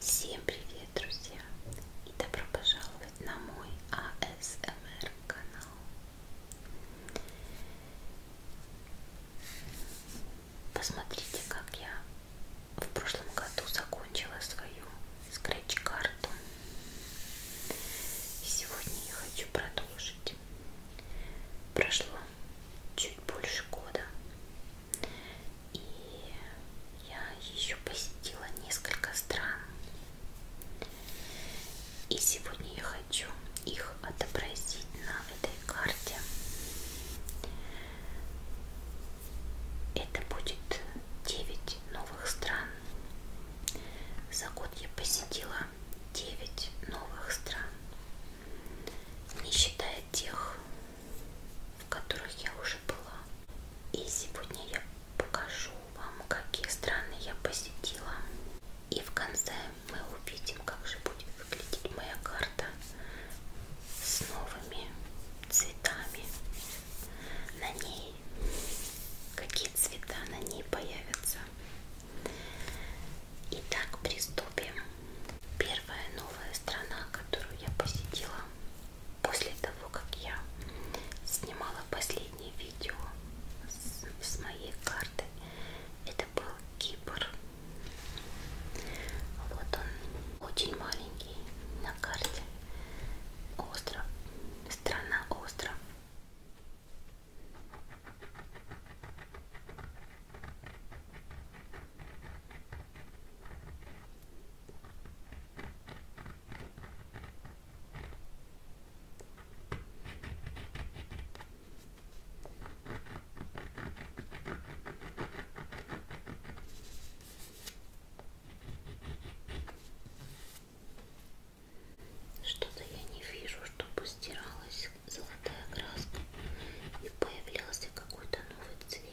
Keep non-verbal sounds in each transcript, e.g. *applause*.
Всем привет, друзья, и добро пожаловать на мой АСМР канал. Посмотрите, как я в прошлом году закончила свою скретч-карту. И сегодня я хочу продолжить. Прошло чуть больше года. И я еще посетила несколько стран. И сегодня я хочу их отобразить на этой карте. Это будет 9 новых стран. За год я посетила 9 новых стран. Не считая тех, в которых я уже была. И сегодня я покажу вам, какие страны я посетила. И в конце мы увидим, как же будет выглядеть моя карта с новыми цветами. На ней какие цвета на ней появятся. Итак, приступим. Первая новая страна, которую я посетила после того, как я снимала последний последнее видео с, с моей карты это был Кипр. Вот он очень маленький на карте. Остров. Страна остров. Что-то я не вижу, чтобы стиралась золотая краска и появлялся какой-то новый цвет.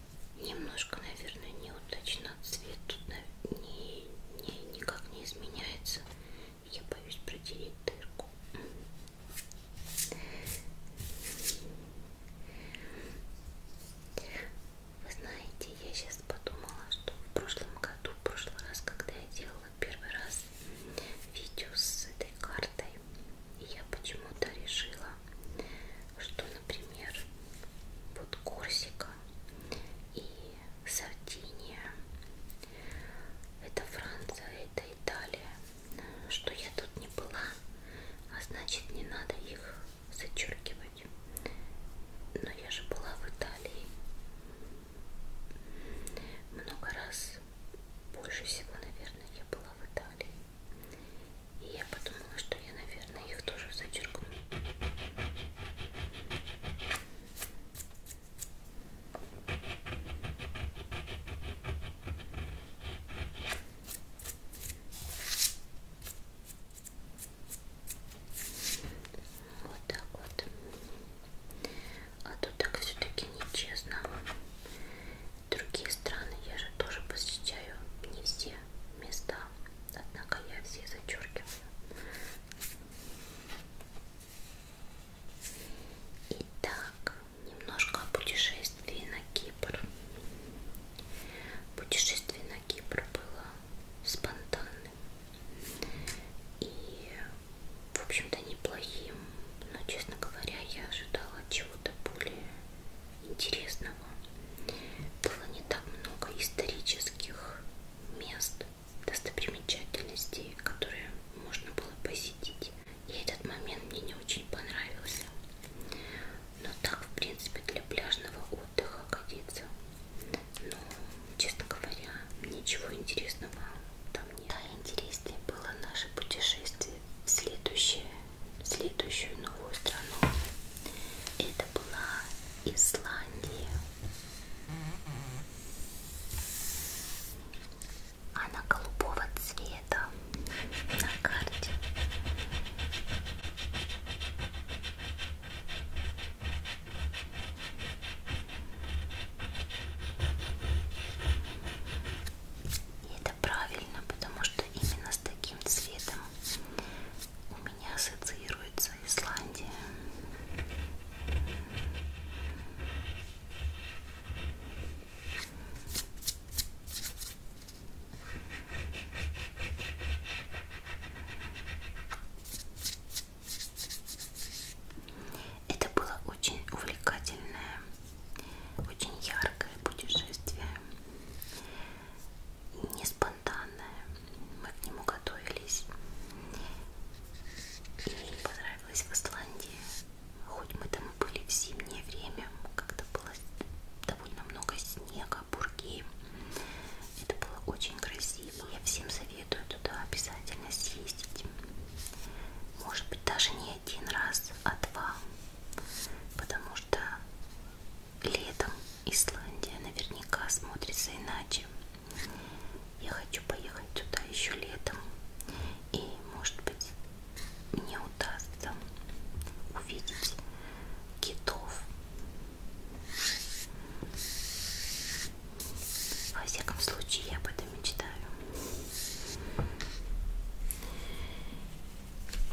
немножко, наверное, неудачно цвет тут не, не, никак не изменяется. Я боюсь протереть дырку. Вы знаете, я сейчас подумала, что в прошлом году, в прошлый раз, когда я делала первый раз видео с этой картой, я почему-то решила что, например, вот Корсика и Сардиния, это Франция, это Италия, что я тут не была, а значит не надо их зачеркивать. Но я же была в Италии много раз, больше всего, наверное, я была в Италии. И я подумала, что я, наверное, их тоже зачеркну. Вот так вот. А то так все-таки нечестно. Другие страны я же тоже посещаю не все места однако я все зачеркиваю. Итак, немножко о путешествии на Кипр. Путешествие на Кипр было спонтанным и, в общем-то, неплохим. Но, честно говоря, я ожидала чего-то более интересного. Было не так много исторических мест, достопримечательностей, которые можно было посетить. И этот момент мне не очень понравился. Но так, в принципе, для пляжного отдыха годится. Но, ну, честно говоря, ничего интересного там нет. Да, интереснее было наше путешествие в следующее в следующую новую страну. Это была Исландия. Она голубого цвета на карте это правильно, потому что именно с таким цветом у меня ассоциируется Исландия. Это было очень увлекательное, очень яркое путешествие не спонтанное. Мы к нему готовились. И понравилось в Исландии. Хоть мы там и были в зимнее время, как-то было довольно много снега, бурги. Это было очень красиво. Я всем советую туда обязательно съездить. Может быть, даже не один раз, а два. Потому что летом Исландия наверняка смотрится иначе. Я хочу поехать туда еще летом. И, может быть, мне удастся увидеть китов. Во всяком случае, я об этом мечтаю.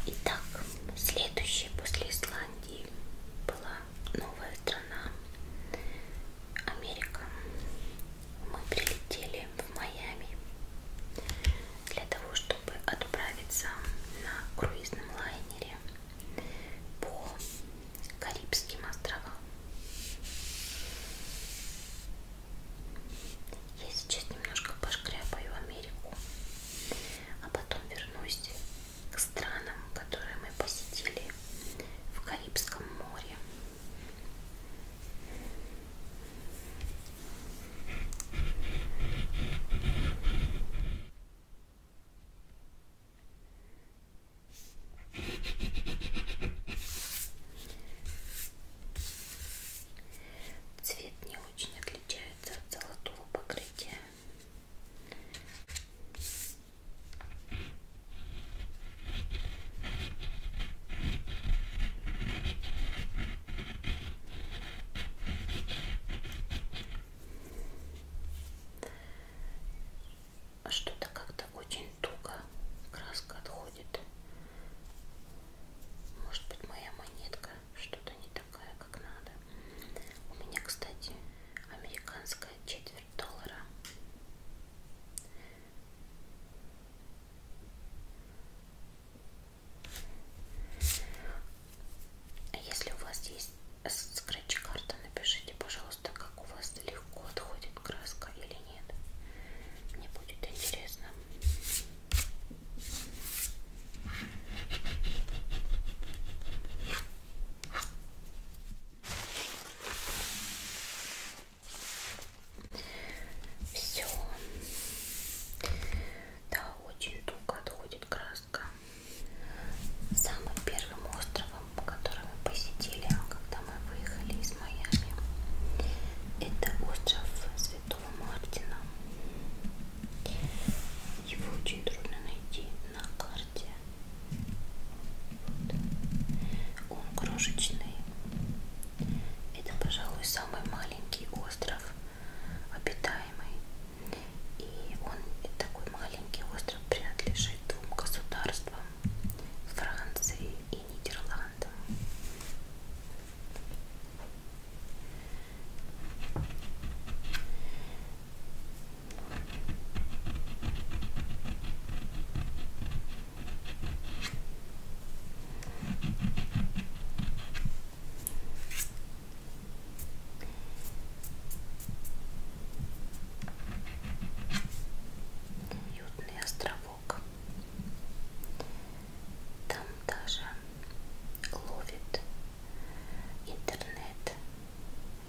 Итак, следующая после Исландии была новая страна Америка. Мы прилетели в Майами для того, чтобы отправиться на круизном лайнере по Карибским островам. Я сейчас немножко пошкряпаю Америку, а потом вернусь к странам, которые мы посетили в Карибском море. Цвет не очень отличается от золотого покрытия. А что-то как-то очень туго краска отходит. Может быть моя монетка что-то не так такая, как надо. У меня, кстати, американская четверть доллара. А если у вас есть скретч-карта, напишите, пожалуйста, как у вас легко отходит краска или нет. Мне будет интересно. Все. Да, очень туго отходит краска. Самым первым островом, который мы посетили, когда мы выехали из Майами, это остров Святого Мартина. Его очень трудно найти на карте. Вот. Он крошечный. Это, пожалуй, самый маленький остров обитаемый. И он такой маленький остров принадлежит двум государствам Франции и Нидерландам. Уютный островок. Там даже ловит интернет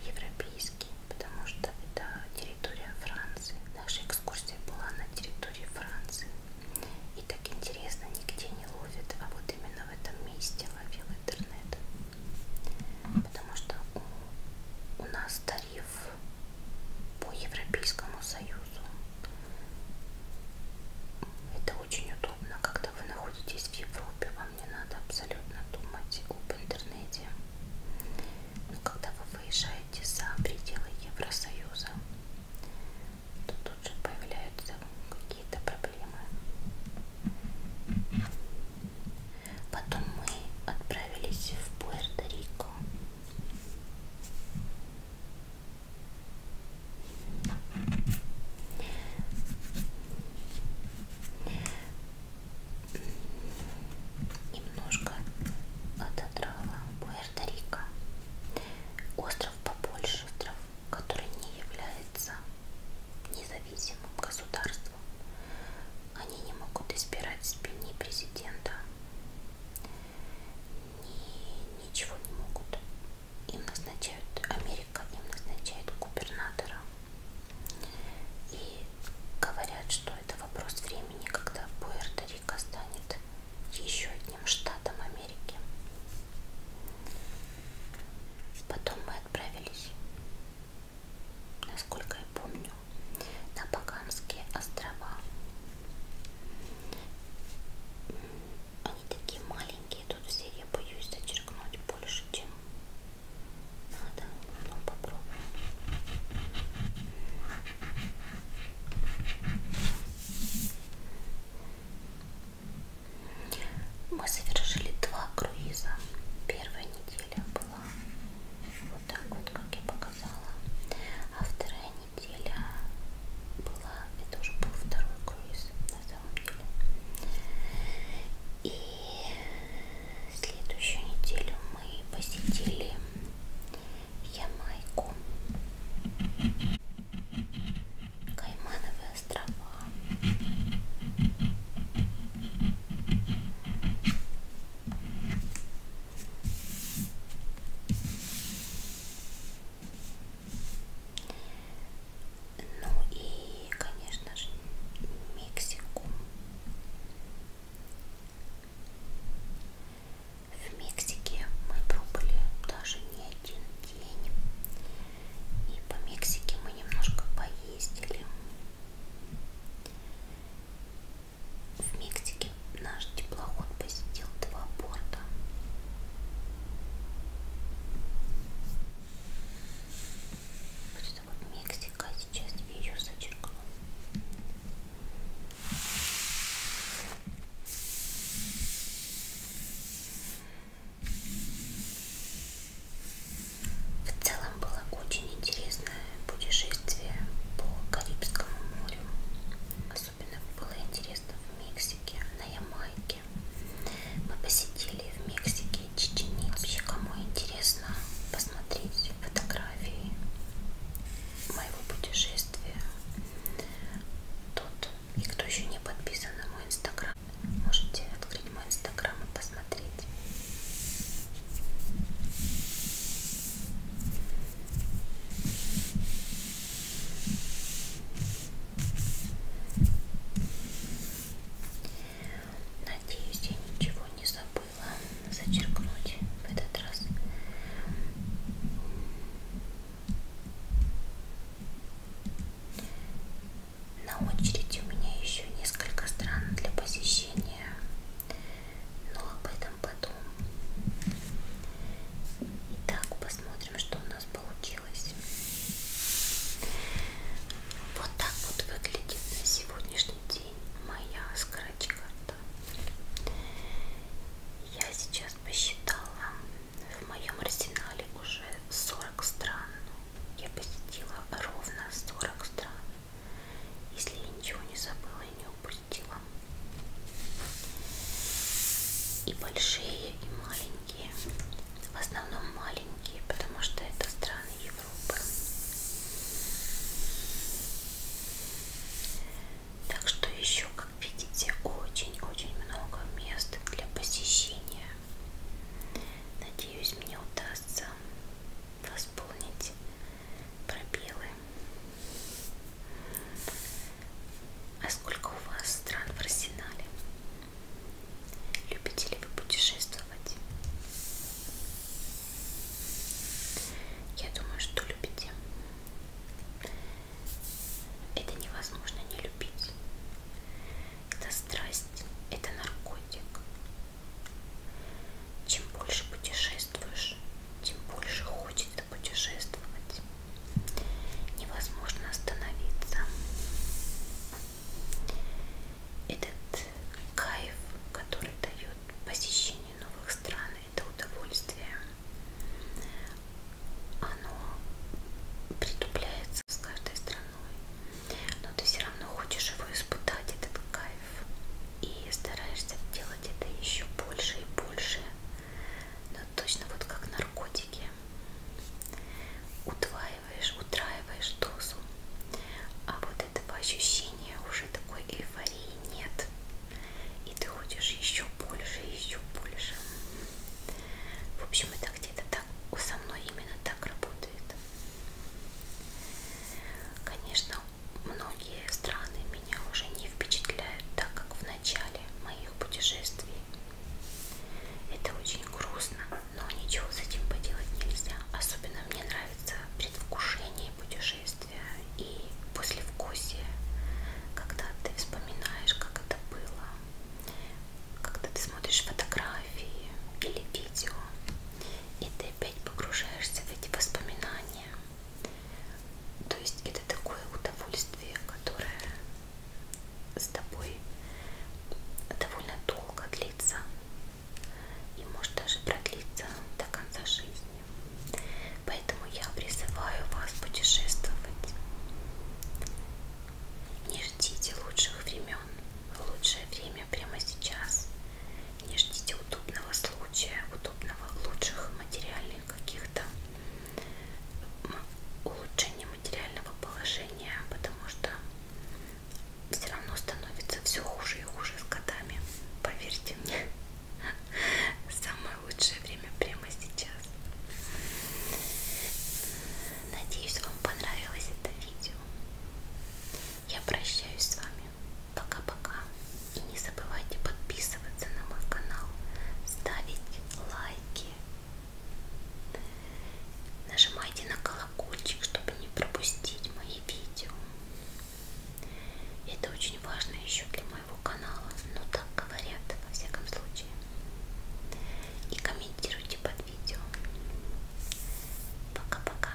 европейский, потому что это территория Франции. Наша экскурсия была на территории Франции. И так интересно, нигде не ловит, а вот именно в этом месте ловил интернет. Потому что у, у нас тариф по Европейскому Союзу это очень удобно, когда вы находитесь в Европе, вам не надо абсолютно думать об интернете. Но когда вы выезжаете за пределы Евросоюза, то тут же появляются какие-то проблемы. Потом мы отправились в Пуэрто-Рико. Немножко отодрала Пуэрто-Рико. Остров побольше, остров, который не является независимым государством. Они не могут избирать себе ни президента, ни, ничего не могут. Им назначают Америка, им назначает губернатора. И говорят, что это вопрос времени, когда Пуэрто-Рико станет еще одним штатом Америки. Потом мы отправились, насколько я помню, на Багамские острова. Они такие маленькие, тут все я боюсь зачеркнуть больше, чем надо. Ну попробуем. Мы совершили два круиза. Первая неделя была вот так вот, как я показала, а вторая неделя была, это уже был второй круиз на самом деле. И следующую неделю мы посетили Ямайку, Каймановые острова. Ну и, конечно же, Мексику. В Мексике мы пробыли даже не один день. И по Мексике мы немножко поездили. В Мексике наш теплоход посетил два порта. Вот это вот Мексика, а сейчас я ее зачеркну. В целом было очень интересное путешествие по Карибскому морю особенно было интересно в Мексике, на Ямайке. Мы посетили в Мексике Чеченицу. Вообще, кому интересно посмотреть фотографии моего путешествия, тот и кто еще не подписан на мой инстаграм, можете открыть мой инстаграм и посмотреть. Надеюсь, я ничего не забыла зачеркнуть в этот раз. На очереди у меня еще несколько стран для посещения но ну, об этом потом. Итак, посмотрим, что у нас получилось. Вот так вот выглядит на сегодняшний день моя скратч-карта. Я сейчас посчитала, в моем арсенале уже 40 стран. Я посетила ровно 40 стран. Если я ничего не забыла и не упредила. И большие, и маленькие. В основном маленькие, потому что это страны Европы. Так что еще, как видите, очень-очень много мест для посещения. Надеюсь, мне удастся восполнить пробелы. А сколько у вас стран в арсенале? Любите ли вы путешествовать? Я думаю, что любите. Это невозможно не любить. Это страсть, это наркотик. Чем больше путешествуешь, путешествуешь, тем больше хочется путешествовать. Невозможно остановиться. Этот кайф, который дает посещение новых стран, это удовольствие. Оно притупляется с каждой страной, но ты все равно хочешь его испытать, этот кайф и стараешься делать это еще больше и больше, но точно вот как наркотики. Утваиваешь, утраиваешь дозу, а вот этого ощущения уже такой эйфории нет. И ты хочешь еще больше, еще больше. В общем, это где-то так со мной именно так работает. Конечно, многие страны меня уже не впечатляют так, как в начале моих путешествий. Это очень грустно, но ничего с этим поделать нельзя. Особенно мне нравится предвкушение путешествия и послевкусие, когда ты вспоминаешь, как это было, когда ты смотришь фотографии или видео, и ты опять погружаешься в эти воспоминания. То есть это такое удовольствие, которое с тобой довольно долго длится и может даже продлиться до конца жизни. Поэтому я призываю вас путешествовать. Не ждите лучших времен. Лучшее время прямо сейчас. Не ждите удобного случая, удобного лучших материальных каких-то улучшения материального положения, потому что все равно становится все хуже и хуже с годами. Поверьте мне, *laughs* самое лучшее время прямо сейчас. Надеюсь, вам понравилось это видео. Я прощаюсь с вами вами. Пока-пока. И не забывайте подписываться на мой канал, ставить лайки. Нажимайте на колокольчик, чтобы не пропустить мои видео. Это очень важно еще для моего канала. Ну так говорят, во всяком случае. И комментируйте под видео. Пока-пока.